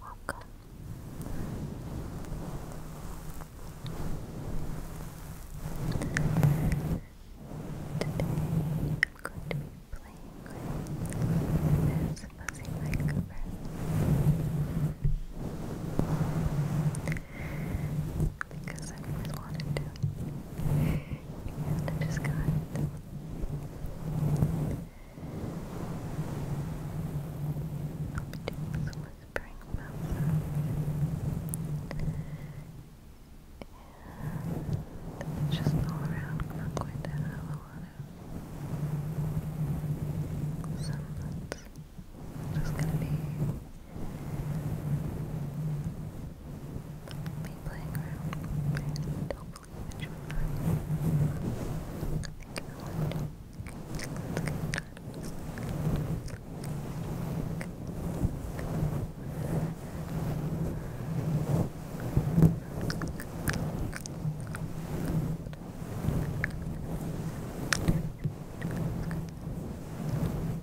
Walk. Today I'm going to be playing this fuzzy microphone because i always wanted to. And I just got it. Optimus Whispering Mountain. And it's just all around. am not going to have a lot of sunsets. Just gonna be be playing around and hopefully you enjoy Thank you very much. Let's get Thank you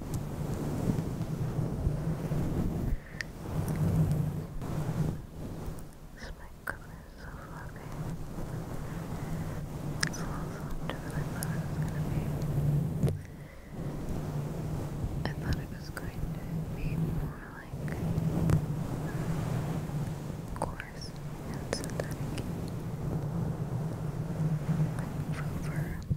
This microphone is so It's a little softer than I thought it was gonna be. I thought it was going to be more like coarse and synthetic. Like fur.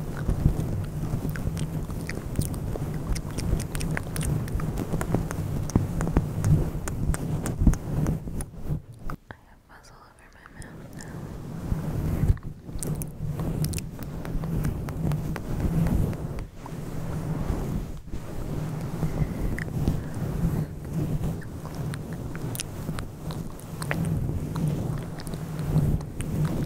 I have buzz all over my mouth now. I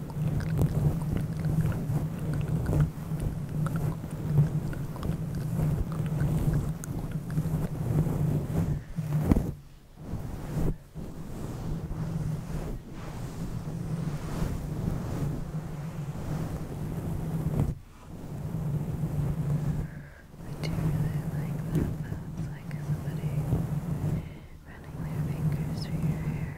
I do really like that. That's like somebody running their fingers through your hair.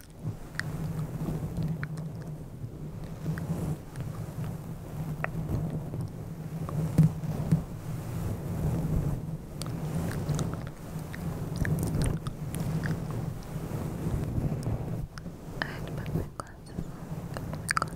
I'd put my glasses on, put my glasses on.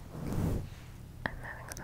I'm having so much fun.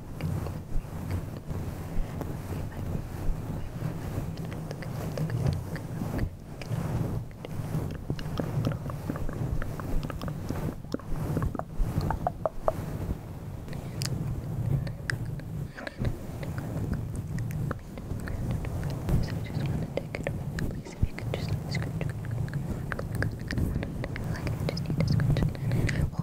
Please, if you could just like scratch, like I just need to scratch. Well,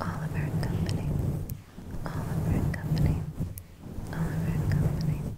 Oliver and Company. Oliver and Company. Oliver and Company.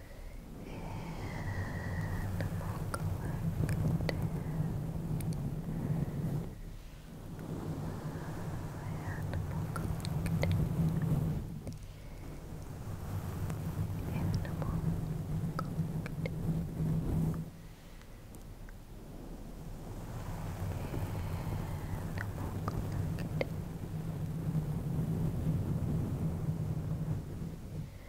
Animal collective. Animal collective.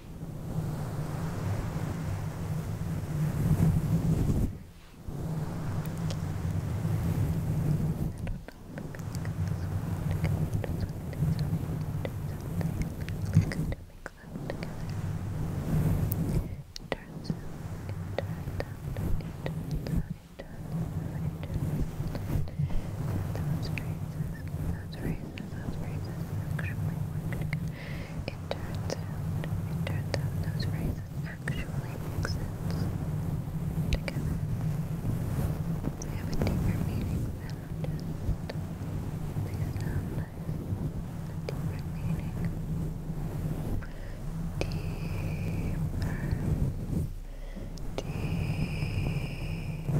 That's racist. That's racist. That's racist. That's it turns out, turns those phrases actually make sense together. They have a deeper meaning than just they sound like a deeper meaning. Deeper, deeper.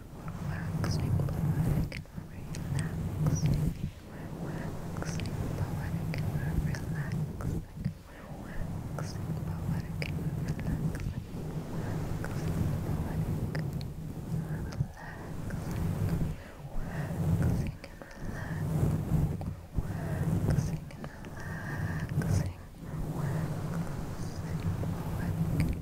Relaxing, poetic, and relaxing. Relaxing, poetic, and relaxing. Relaxing, poetic, and relaxing. Relaxing, poetic, relaxing. Relaxing and relaxing. Relaxing and relaxing. Relaxing, poetic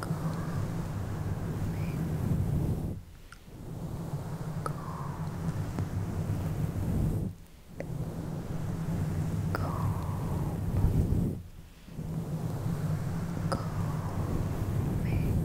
calming, calm, calm, calming, relaxation. Calming, relaxation.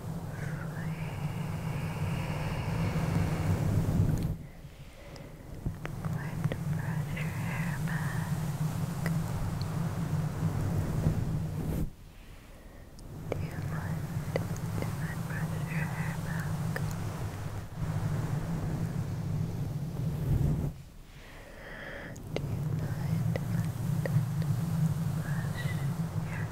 Let the pressure hair back. Do you want to brush your hair back? Do you mind to brush your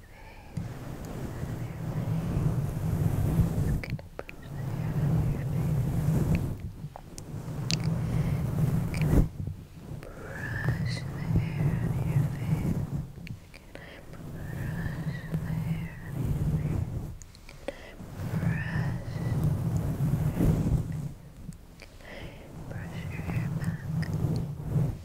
Brush your hair back. Brush your hair back. Brush Brush your hair back. Brush Brush your hair Brush your hair back.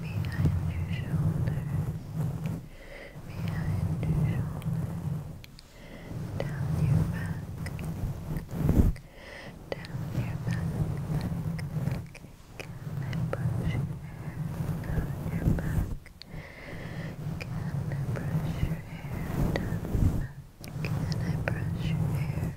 behind your shoulders, behind your shoulders, down your back, down your back, Can I brush down your back? Can I brush your hair down your back? Can I brush your hair?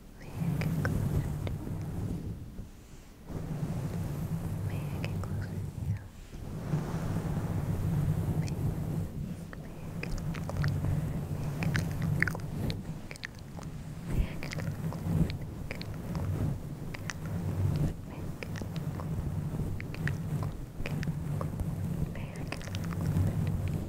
May I get closer you? May I get closer May, I get closer? May I get closer? May I get closer? May I get closer? May I get closer? May I get closer?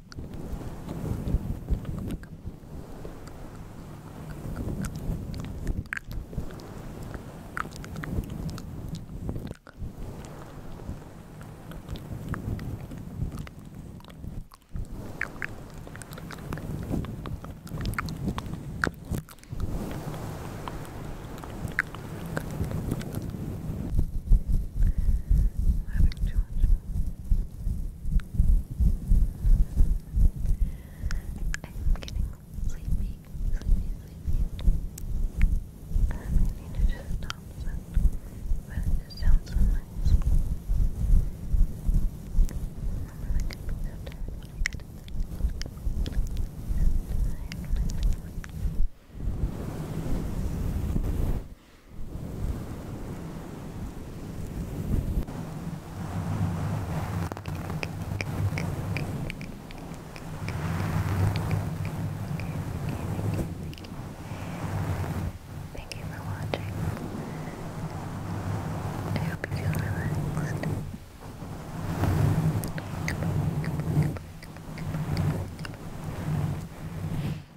Having too much I'm getting sleepy, sleepy, sleepy. I need to just stop But it just sounds so nice. to I am really tired. Thank you for watching. I hope you feel relaxed.